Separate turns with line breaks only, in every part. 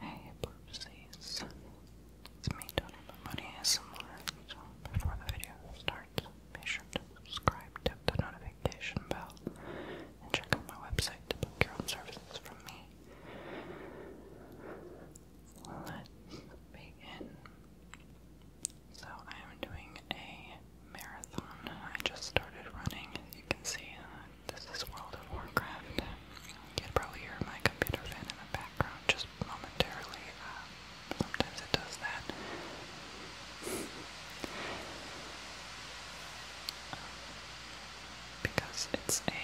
Hey, Burpsies. It's me, Tony Money ASMR. So, before the video starts, be sure to subscribe, tap the notification bell, and check out my website to book your own services from me. Let's begin. So, I am doing a marathon I just started running. and you can see, uh, this is World of Warcraft. You can probably hear my computer fan in the background just momentarily. Uh, sometimes it does that. Um, because it's a,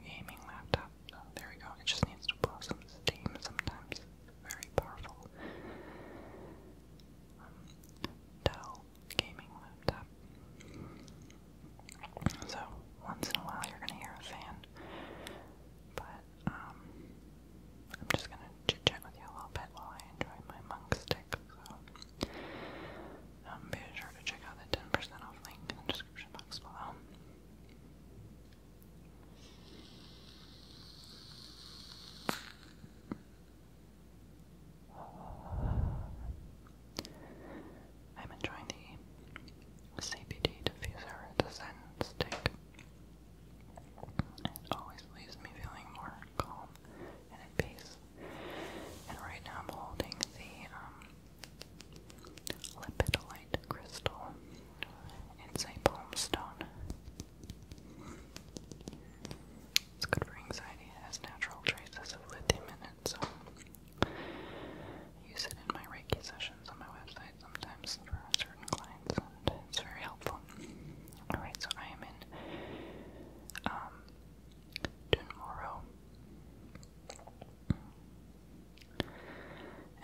gaming laptop. Oh, there we go. It just needs to blow some steam sometimes. Very powerful. Um, Dell gaming laptop. So once in a while you're gonna hear a fan, but um, I'm just gonna chit chat with you a little bit while I enjoy my monk stick. So um, be sure to check out the 10% off link in the description box below. I'm enjoying the CBD diffuser the Zen stick. It always leaves me feeling more calm and at peace. And right now I'm holding the um, crystal. It's a palm stone it's good for anxiety. It has natural traces of lithium in it, so use it in my Reiki sessions on my website sometimes for certain clients, and it's very helpful. Alright, so I am in um,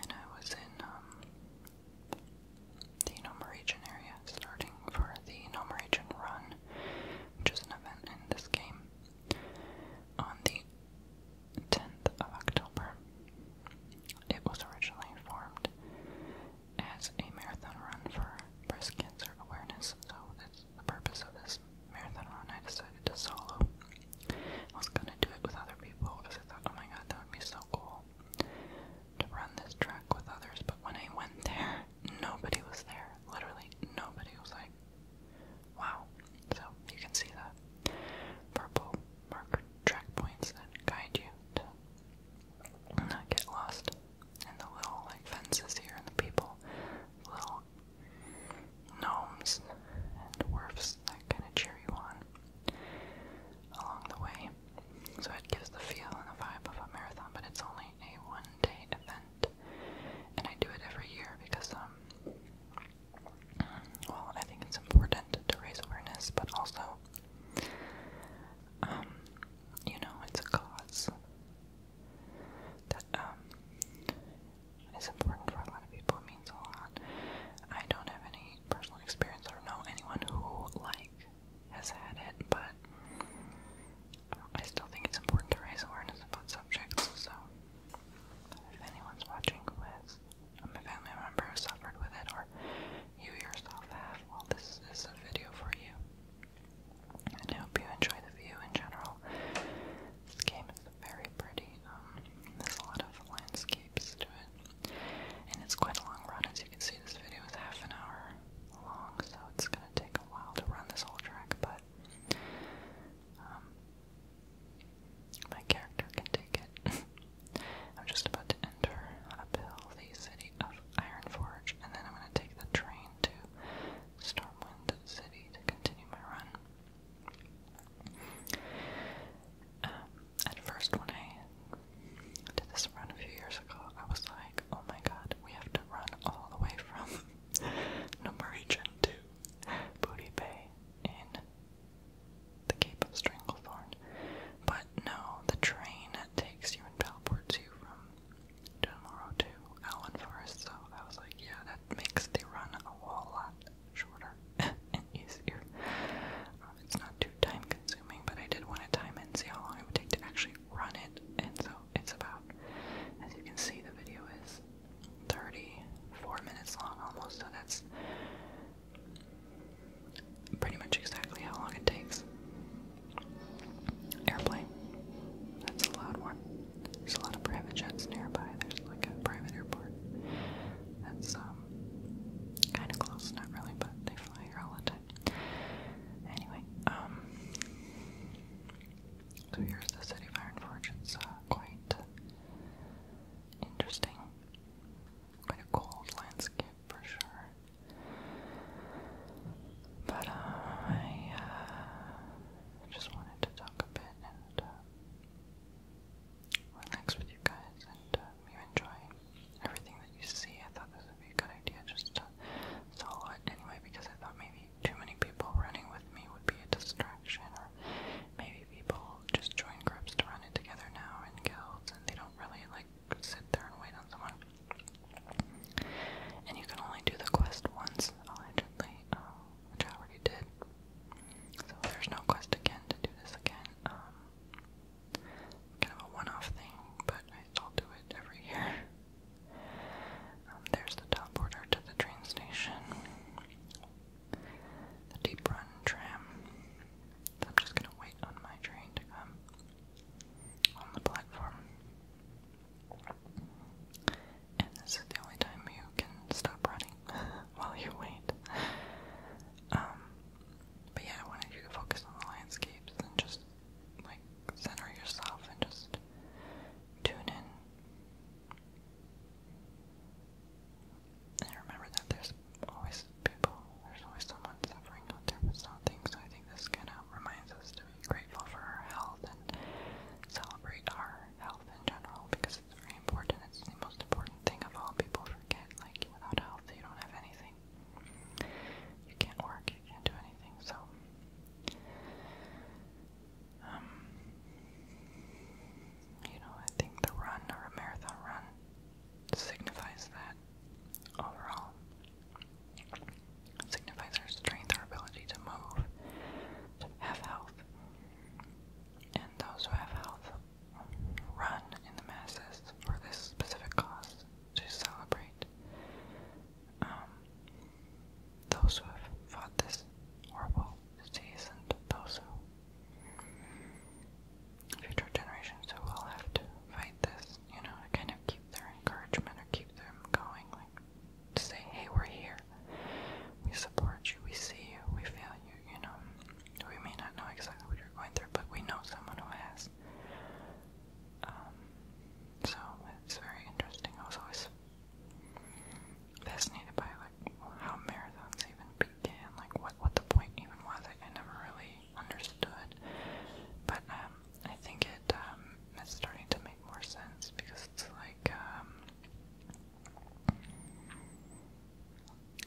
And I was in um, the Nome area, starting for the Nome run which is an event in this game, on the 10th of October. It was originally formed as a marathon run for breast cancer awareness, so that's the purpose of this marathon I decided to solo. I was gonna do it with other people because I thought, oh my god, that would be so cool to run this track with others. But when I went there, nobody was there. Literally nobody was like, wow. So you can see the purple marker track points that guide you to not get lost. And the little like fences here and the people, little gnomes and dwarfs that kind of cheer you on along the way. So it gives the feel and the vibe of a marathon, but it's only a one-day event, and I do it every year because um, well, I think it's important to raise awareness, but also, um, you know, it's a cause that um, important for a lot of people. It means a lot. I don't have any personal experience or know anyone who like has had it, but I still think it's important to raise awareness about subjects. So, if anyone's watching who has a family member who suffered with it, or you yourself have, well, this is a video for you. And I hope you enjoy the view in general. This game is very pretty. Um, there's a lot of landscapes to it, and it's quite a long run. As you can see, this video is half an hour long, so it's gonna take while to run this whole track, but um, my character can take it. I'm just about to enter uphill the city of Ironforge, and then I'm going to take the train to Stormwind City to continue my run. Um, at first, when I did this run a few years ago, I was like, like, oh my god, we have to run all the way from Norwegian to Booty Bay in the Cape of Stranglethorn. But no, the train takes you and teleports you from tomorrow to Allen Forest, so I was like, yeah, that makes the run a whole lot shorter and easier. Um, it's not too time consuming, but I did want to time it and see how long it would take to actually run it, and so it's about, as you can see, the video is 34 minutes long almost, so that's pretty much exactly how long it takes. Airplane. That's a loud one. There's a lot of private jets nearby. There's like a private airport. That's um kinda close, not really, but they fly here all the time. Anyway, um so here's the city of Iron Forge. It's uh, quite interesting. Quite a cold landscape for sure. But uh, I uh, just wanted to talk a bit and uh, relax with you guys and you enjoy everything that you see. I thought this would be a good idea just to solo anyway because I thought maybe too many people running with me would be a distraction, or maybe people just join groups to run it together now in guilds, and they don't really like sit there and wait on someone. And you can only do the quest once, allegedly, um, which I already did. So there's no quest again to do this again. Um, kind of a one-off thing, but I'll do it every year. Um, there's the top border to the train station. The deep run tram. I'm just gonna wait on my train to come on the platform. And this is the only time you can stop running while you wait. Um, but yeah, I wanted you to focus on the landscapes and just like center yourself and just tune in. And remember that there's always people, there's always someone suffering out there with something, so I think this kind of reminds us to be grateful for our health and celebrate our health in general because it's very important. It's the most important thing of all. People forget, like, without health, you don't have anything. You can't work, you can't do anything, so um, you know, I think the run a marathon run signifies that overall. signifies our strength, our ability to move, to have health. And those who have health run in the masses for this specific cause to celebrate um, those who have fought this horrible disease and those who future generations who will have to fight this, you know, to kind of keep their encouragement or keep them going, like to say, hey, we're here. We support you, we see you, we feel you, you know. We may not know exactly what you're going through, but we know someone who has. Um, so it's very interesting. I was always Fascinated by like how marathons even began, like what what the point even was. I, never really understood, but um, I think it's um, starting to make more sense because it's like um,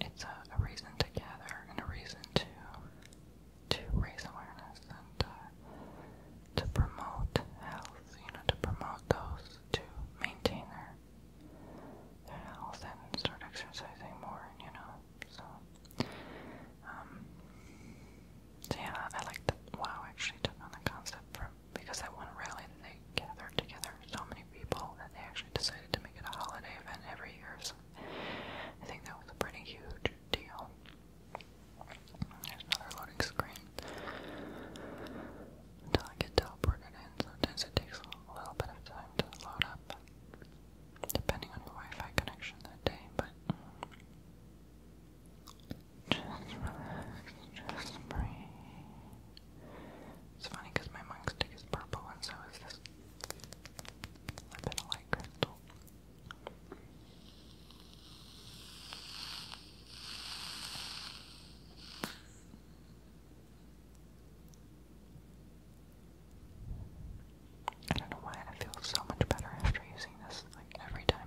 it's a, reason to gather and a reason to to raise awareness and uh, to promote health, you know, to promote those to maintain their health and start exercising more, you know. So um so yeah, I like that WoW actually took on the concept from because that one rally that they gathered together so many people that they actually decided to make it a holiday event every year. So I think that was a pretty huge deal. There's another loading screen until I get teleported in. Sometimes it takes a little bit of time to load up, depending on your Wi-Fi connection that day. But just relax, just breathe. It's funny because my monk stick is purple, and so is this little bit of light crystal. I don't know why I feel so much better after using this, like every time.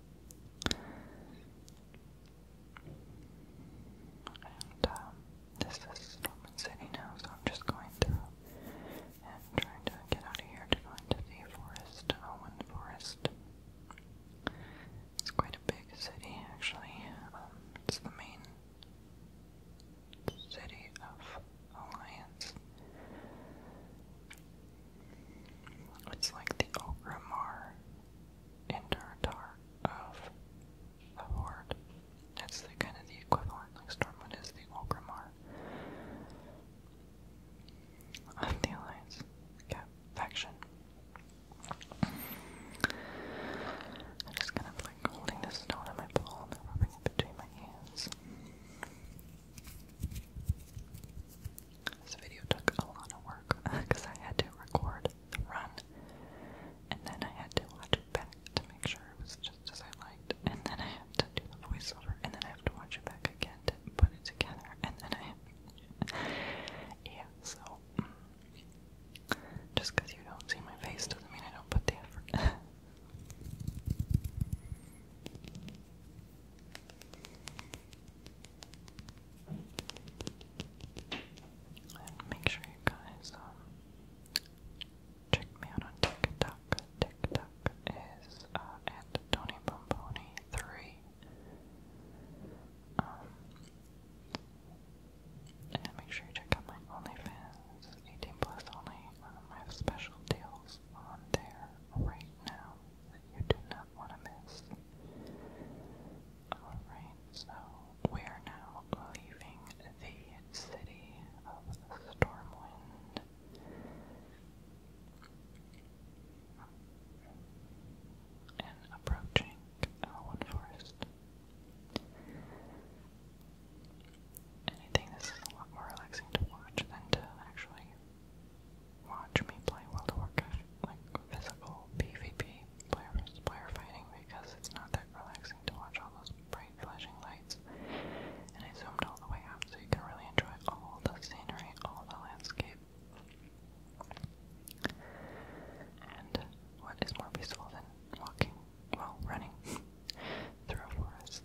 And um, this is Roman City now, so I'm just going and trying to get out of here to go into the forest, Owen oh, Forest. It's quite a big city, actually. Um, it's the main city of Alliance. It's like the Ogrimmar and of the Horde. That's the kind of the equivalent, like Stormwind is the Ogrimmar of the Alliance. Yeah, faction. I'm just kind of like holding this stone in my palm and rubbing it between my hands. This video took a lot of work because I had to record the run and then I had to watch it back to make sure it was just as I liked, and then I had to do the voiceover, and then I have to watch it back again to put it together, and then I have. yeah, so. Mm. Just because you don't see my face doesn't mean I don't put the effort. And make sure you guys um, check me out on TikTok. TikTok is uh, at Tony Bomboni three. Um, and make sure you check out my OnlyFans, 18 plus only. Um, I have special deals on there right now that you do not not want to miss. Alright, we are now leaving the city of Stormwind. And approaching Elwood Forest. And this is a lot more relaxing to watch than to actually watch me play World of Warcraft, like physical PvP, player player fighting, because it's not that relaxing to watch all those bright flashing lights. And I zoomed all the way up so you can really enjoy all the scenery, all the landscape. And what is more peaceful than walking, well, running through a forest?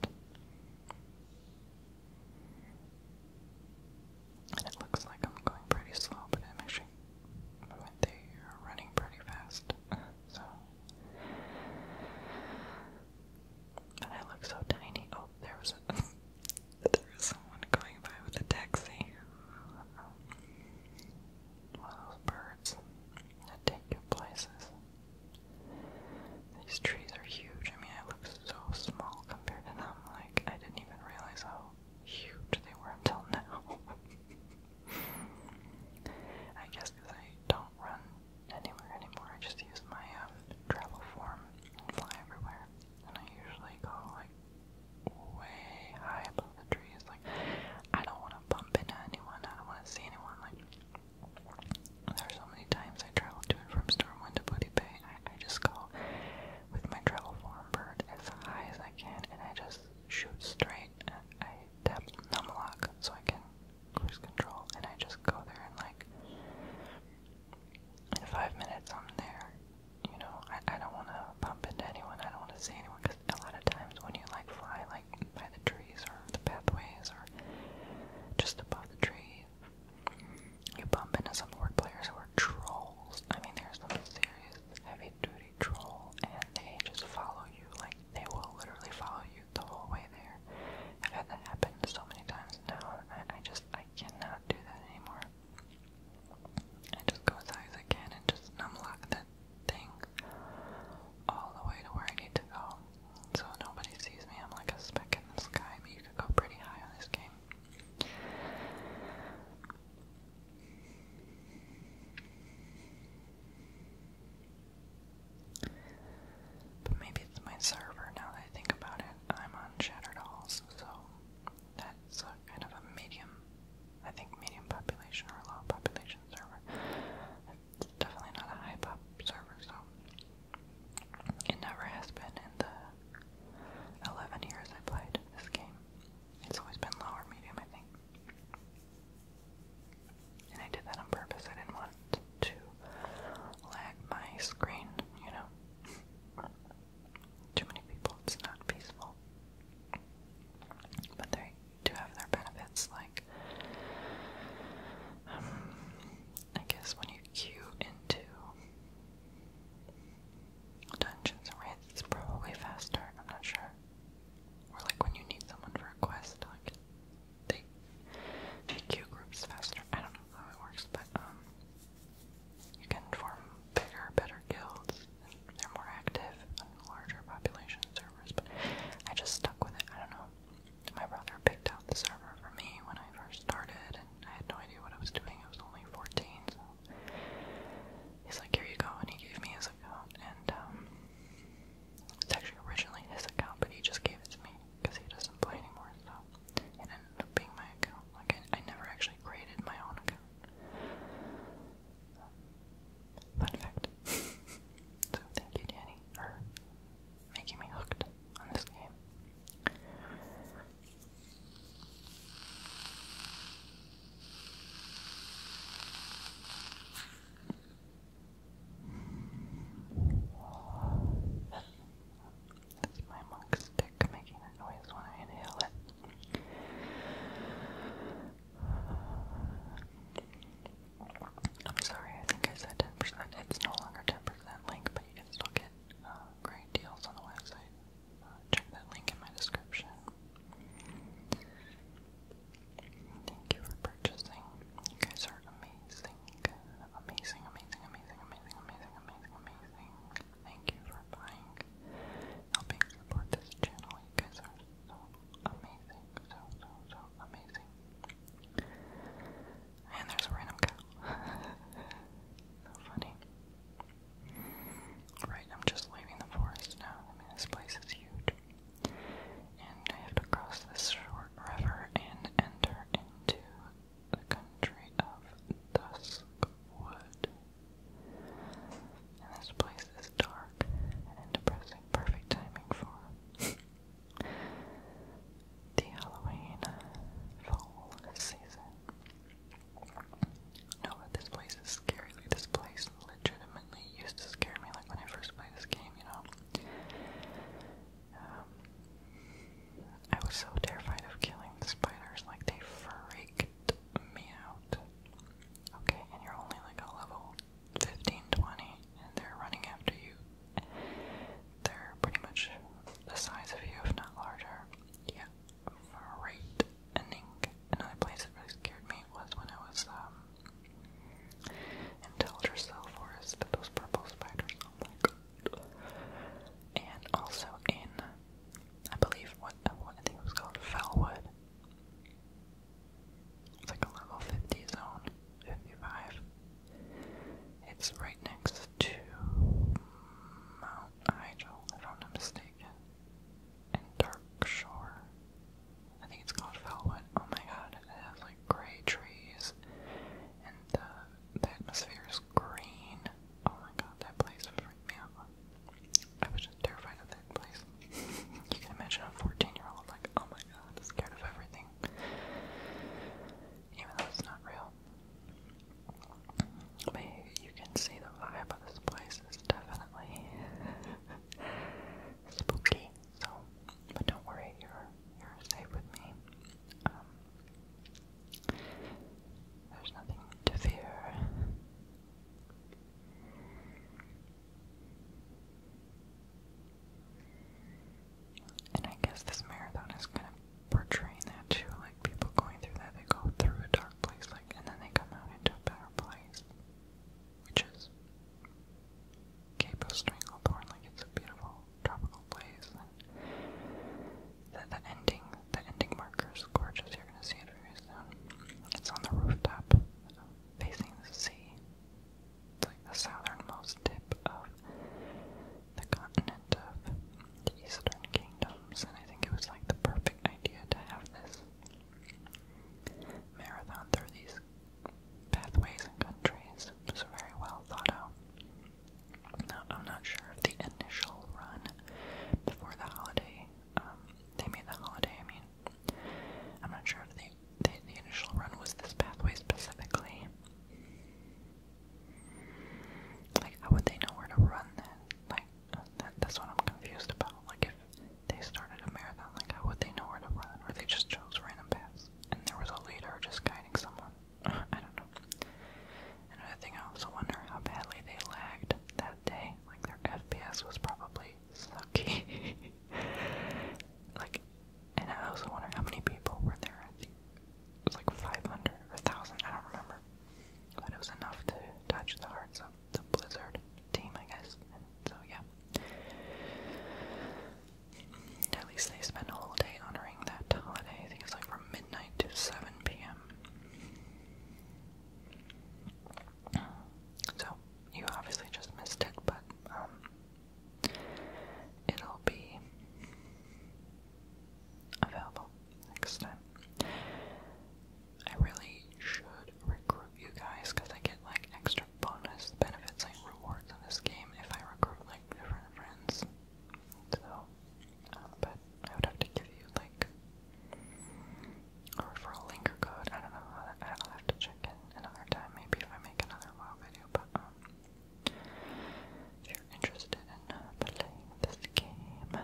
And it looks like I'm going pretty slow, but I'm actually moving there, running pretty fast. so, and I look so tiny. Oh, there was there was someone going by with a taxi. Um, birds take you places. These trees are huge. I mean, I look so small compared to them. Like, I didn't even realize how huge they were until now. I guess because I don't run anywhere anymore, I just use my um, travel form and fly everywhere. And I usually go like way high above the trees. Like, I don't want to bump into anyone, I don't want to see anyone. Like, there so many times I traveled to and from Stormwind to Booty Bay, I, just go with my travel form bird as high as I can and I just shoot straight and I tap Lock so I can cruise control and I just go there and like in five minutes I'm there. You know, I, I don't want to bump into anyone, I don't want to see anyone because a lot of times when you like fly like by the trees or the pathways or just above the trees you bump into some orc players who are trolls. I mean, there's some serious heavy duty troll, and they just follow you. Like, they will literally follow you the whole way there. I've had that happen so many times now, and I, just, I cannot do that anymore. I just go as high as I can and just unlock that thing all the way to where I need to go. So nobody sees me, I'm like a speck in the sky, but you could go pretty high on this game. But maybe it's my server now that I think about it. I'm on Shattered Halls, so that's kind of a medium, I think medium population or low population server. It's definitely not a high pop server, so it never has been in the 11 years I played this game. It's always been low medium, I think. And I did that on purpose. I didn't want to lag my screen, you know. Too many people, it's not peaceful. But they do have their benefits, like, um, I guess when you queue into Dungeons and Wraiths probably faster, I'm not sure. Or like when you need someone for a quest, like they queue groups faster. I don't know how it works, but um you can form bigger, better guilds. they're more active larger population servers, but I just stuck with it. I don't know. My brother picked out the server for me when I first started, and I had no idea what I was doing. I was only 14, He's like, here you go, and he gave me his account, and um, it's actually originally his account, but he just gave it to me because he doesn't play anymore, so it ended up being my account. Like, I, never actually created my own account. fun fact. so, thank you, Danny, for making me hooked on this game. That's my monk stick making a noise when I inhale it. I'm sorry, I think I said 10%. It's no longer 10% link, but you can still get uh, great deals on the website. Uh, check that link in my description. Thank you for purchasing. You guys are amazing. Amazing, amazing, amazing, amazing, amazing, amazing, Thank you for buying, helping support this channel. You guys are so amazing, so, so, so amazing. And there's a random so funny. Alright, I'm just leaving the forest now. I mean, this place is huge. And I have to cross this short river and enter into the country of Duskwood. And this place is dark and depressing. Perfect timing for the Halloween fall season. No, but this place is scary. this place legitimately used to scare me, like, when I first played this game, you know? Um, I was so terrified of killing the spiders, like, they freaked me out. Okay, and you're only, like, a level 15, and they're running after you. They're pretty much the size of you, if not larger. Yeah, great ending. Another place that really scared me was when I was um, in Telger Forest, those purple spiders. Oh my god. And also in, I believe, what, one I think was called Fellwood. It's like a level 50 zone, 55. It's right next to Mount Igel, I'm not mistaken and Dark Shore. I think it's called Felwood. Oh my god, it has like gray trees and the, atmosphere is green. Oh my god, that place freaked me out. I was just terrified of that place. you can imagine a 14 year old, like, oh my god, scared of everything. Even though it's not real you can see the vibe of this place is definitely spooky. So, but don't worry, you're you're safe with me. Um, there's nothing to fear. And I guess this marathon is kind of portraying that too, people going through that, they go through a dark place, like, and then they come out into a better place, which is Capo Stranglethorn. Like, it's a beautiful tropical place, and the, the ending, the ending marker is gorgeous. You're gonna see it very It's on the rooftop, facing the sea. It's like the southernmost tip of the continent of the Eastern Kingdoms, and I think it was like the perfect idea to have this marathon through these pathways and countries. It was very well thought out. Now, I'm not sure if the initial run before the holiday, um, they made the holiday, I mean, I'm not sure if the, the initial run was this pathway specifically. Like, how would they know where to run then? Like, that's what I'm confused about. Like, if they started a marathon, like, how would they know where to run? Or they just chose random paths, and there was a leader just guiding someone. I don't know. And Another thing, I also wonder how badly they lagged that day. Like, their FPS was probably sucky. like, and I also wonder how many people were there. I think it was like 500 or 1,000, I don't remember. But it was enough to touch the hearts of the Blizzard team, I guess. so yeah. At least they spend a whole day honoring that holiday. I think it's like from midnight to 7 p.m. So, you obviously just missed it, but um, it'll be available next time. I really should recruit you guys because I get like extra bonus benefits, and rewards in this game if I recruit like different friends. So, um, but I would have to give you like a referral link or code. I don't know. I'll have to check in another time, maybe if I make another WoW video. But um, if you're interested in uh, playing this game.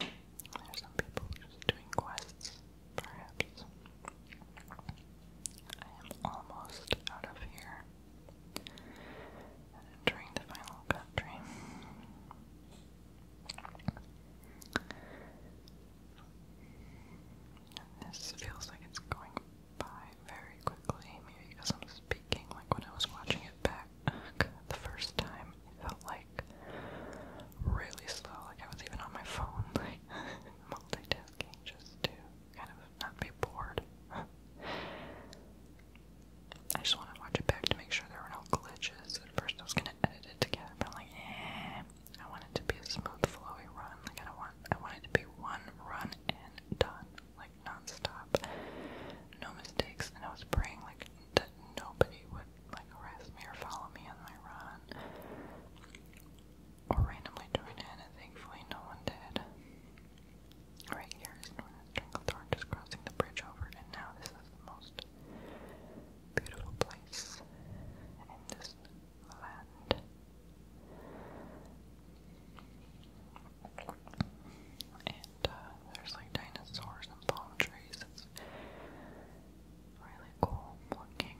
There's some people just doing quests, perhaps. I am almost out of here entering the final country. this feels like it's going by very quickly, maybe because I'm speaking. Like when I was watching it back the first time, it felt like really slow. Like I was even on my phone, like multitasking just to kind of not be bored. I just want to watch it back to make sure there were no glitches. At first, I was gonna edit it together, but I'm like, eh. I want it to be a smooth, flowy run. Like I want. I want it to be one run and done. Like, nonstop, no mistakes, and I was praying like that nobody would like arrest me or follow me on my run, or randomly join in, thankfully no one did. Right here is Northern just crossing the bridge over, and now this is the most beautiful place in this land. And uh, there's like dinosaurs and palm trees. It's really cool looking.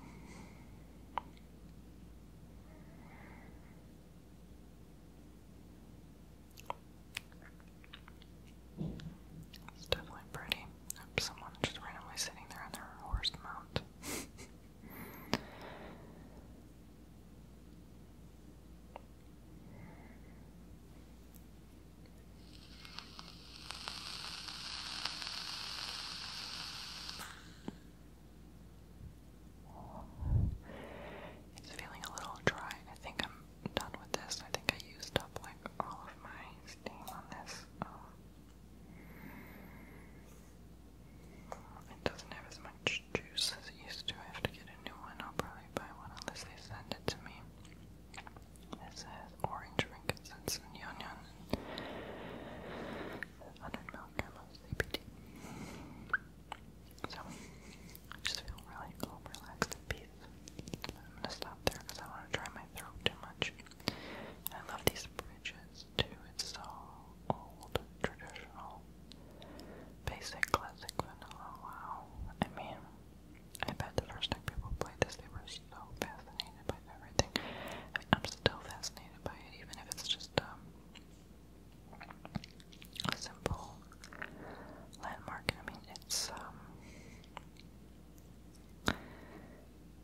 It's definitely pretty. someone just randomly sitting there on their horse mount. It's feeling a little dry. I think I'm done with this. I think I used up like all of my steam on this. Um, it doesn't have as much orange juice is used to. I have to get a new one. I'll probably buy one unless they send it to me. It says orange frankincense and onion and 100 milligrams of CBD. So, I just feel really cool, relaxed, and peace. I'm gonna stop there because I want to try my throat too much. I love these bridges too. It's so old, traditional. Basic classic vanilla, wow. I mean, I bet the first time people played this, they were so fascinated by everything. I am still fascinated by it, even if it's just um, a simple landmark. I mean, it's um,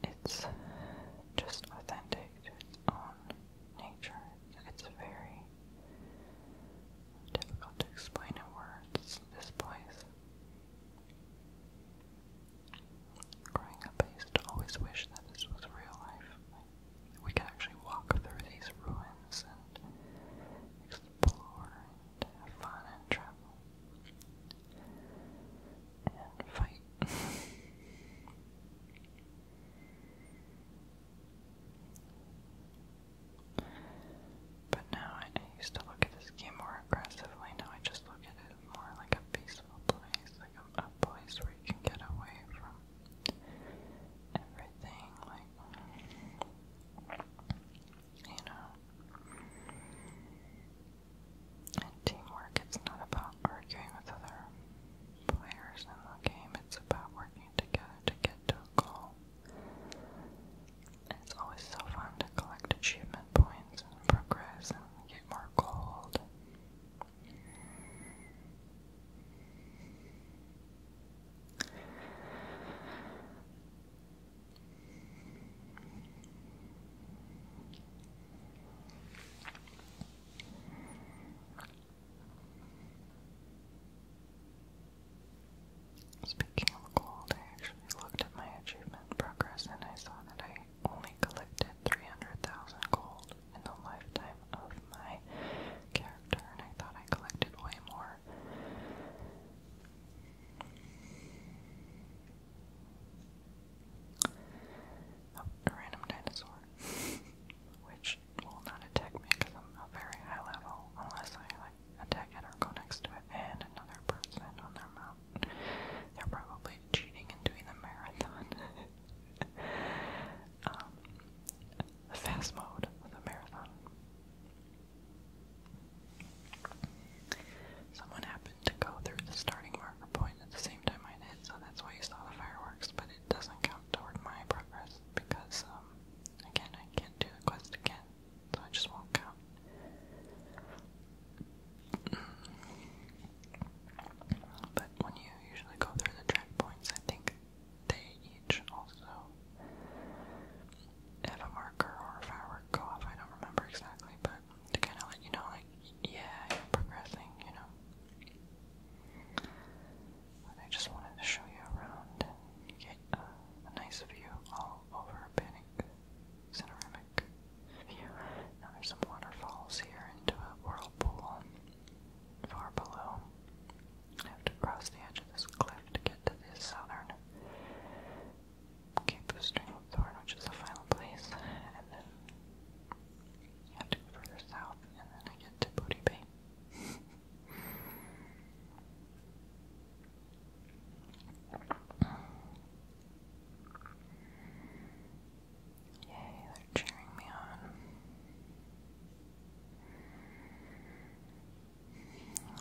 it's just authentic nature. It's very difficult to explain in words, this place. Growing up, I used to always wish that this was real life. we could actually walk through these ruins and explore have fun and travel and fight. But now I, used to look at this game more aggressively. Now I just look at it more like a peaceful place, like a, place where you can get away from everything. Like you know. teamwork, it's not about arguing with other players in the game, it's about working together to get to a goal it's always so fun to collect achievement points and progress and get more gold. Speaking of gold, I actually looked at my achievement progress and I saw that I only collected 300,000 gold in the lifetime of my character, and I thought I collected way more. Oh, random dinosaur. Which will not attack me because I'm not very high level unless I like attack it or go next to it and another person on their mount. They're probably cheating and doing the marathon. Um, fast mode of the marathon. Someone happened to go through the starting marker point at the same time I did, so that's why you saw the fireworks, but it doesn't count toward my progress because um, Again, I can't do the quest again, so I just walk out. but when you usually go through the checkpoints, I think they each also have a marker or a firework go off. I don't remember exactly, but to kind of let you know, like, yeah, you're progressing, you know. I just wanted to show you around and get a nice view all over Bannock Panoramic Now there's some waterfalls here into a whirlpool far below. I have to cross the edge of this cliff to get to the southern Cape of Stranglethorn, which is the final place, and then I have to go further south, and then I get to Booty Bay. Yay, they're cheering me on.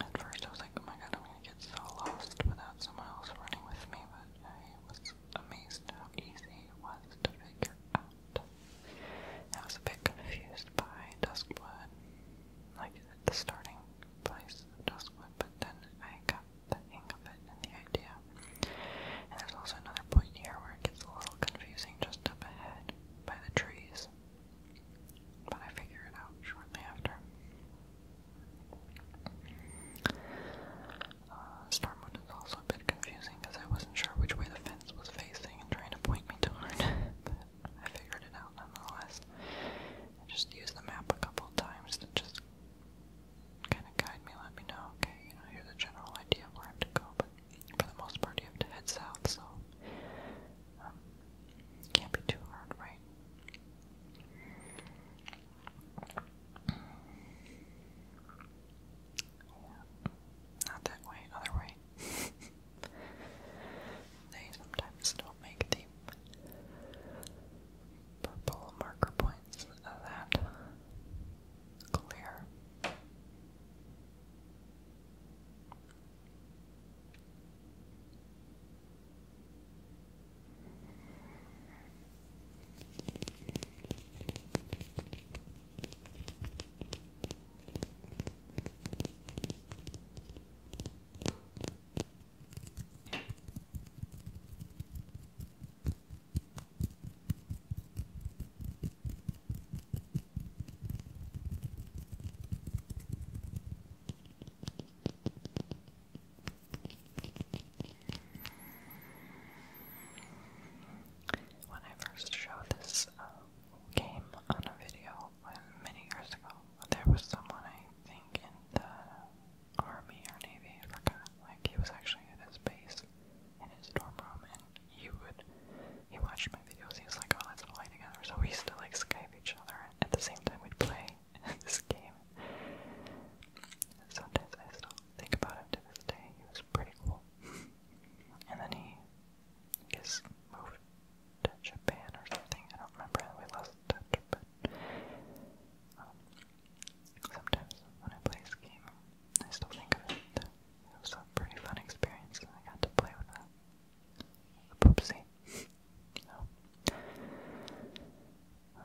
At first I was like, oh my god, I'm gonna get so lost without someone else running with me, but I was amazed how easy it was to figure out. I was a bit confused by Duskwood, like the starting place of Duskwood, but then I got the hang of it and the idea. And there's also another point here where it gets a little confusing just up ahead by the trees, but I figure it out shortly after. Uh, is also a bit confusing because I wasn't sure which way the fence was facing and trying to point me toward, but I figured it out nonetheless. I just used the map a couple times to just kind of guide me, let me know, okay, you know, here's a general idea where I have to go, but for the most part you have to head south, so um, can't be too hard, right? Not that way, other way. They sometimes don't make the purple marker points that clear. When I first showed this uh, game on a video, many years ago, there was someone I think in the army or navy, I forgot. Like he was actually at his base in his dorm room, and he would he watched my videos. He was like, "Oh, let's play together." So we used to like Skype each other, and at the same time we'd play this game. Sometimes I still think about him to this day. He was pretty cool. And then he, I guess, moved to Japan or something. I don't remember we lost touch, but um, sometimes when I play this game, I still think of it. It was a pretty fun experience, I got to play with uh, that. poopsie. Um, I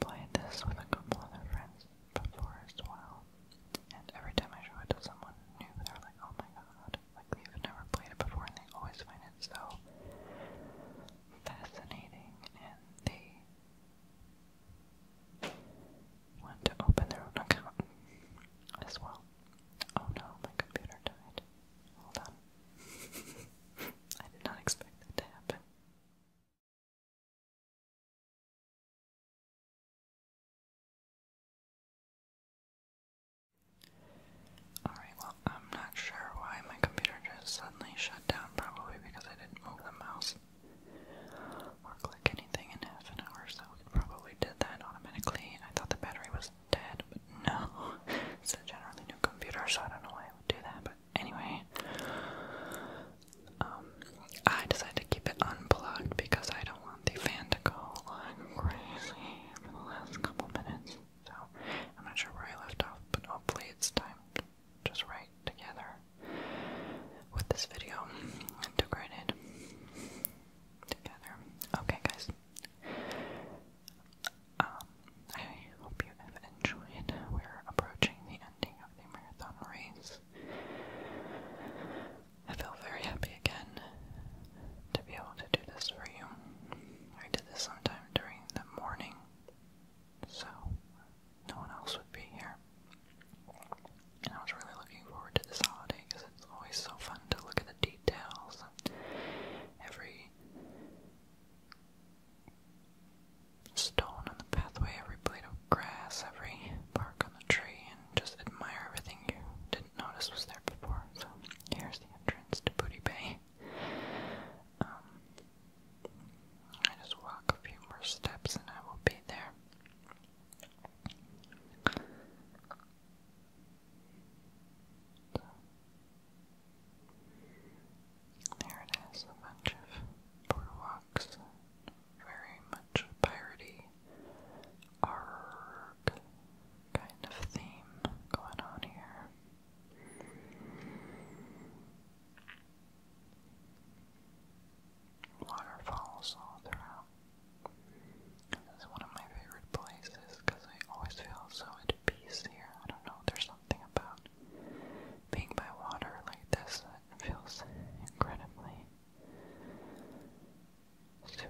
played this with a couple other friends before as well. And every time I show it to someone new, they're like, oh my god, like they've never played it before and they always find it so fascinating and they want to open their own account as well. Oh no, my computer died. Hold on. I did not expect that to happen. Alright, well, I'm not sure why my computer just suddenly shut down, probably because I didn't move the mouse or click anything in half an hour, so it probably did that automatically. I thought the battery was dead, but no. It's a generally new computer, so I don't know why it would do that, but anyway. Um, I decided to keep it unplugged because I don't want the fan to go like crazy for the last couple minutes. So I'm not sure where I left off, but hopefully it's timed just right together with this video integrated together. Okay, guys. Um, I hope you have enjoyed. We're approaching the ending of the marathon race. I feel very happy again to be able to do this for you. I did this sometime during the morning, so no one else would be here. And I was really looking forward to this holiday because it's always so fun to look at the details every stone on the pathway, every blade of grass, every bark on the tree, just admire everything you didn't notice was there before. So here's the entrance to Booty Bay. Um, I just walk a few more steps and I will be there. there it is, a bunch of boardwalks very much piratey arg kind of theme going on here. Waterfalls all throughout. This is one of my favorite places because I always feel so at peace here. I don't know, there's something about being by water like this that feels incredibly soothing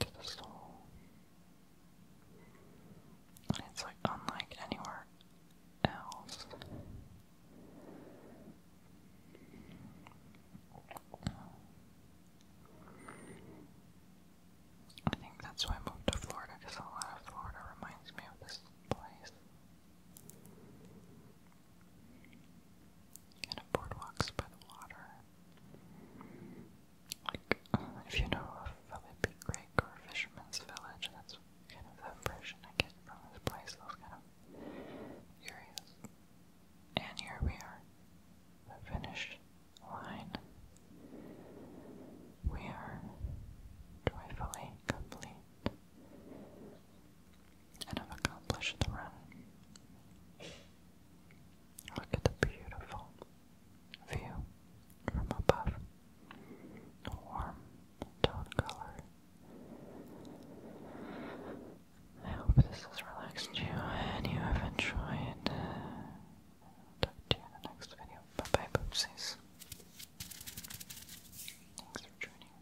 to the soul. And it's like unlike anywhere else. I think that's why I moved to Florida, because a lot of Florida reminds me of this place. Kind of boardwalks by the water. Like, uh, if you know of Philippi Creek or Fisherman's Village, that's kind of the impression I get from this place, those kind of areas. And here we are, the finish line. We are joyfully complete and have accomplished the run. Look at the beautiful view from above. warm tone color. I hope this has relaxed you and you have enjoyed. Uh, talk to you in the next video. Bye bye, boopsies. Thanks for joining.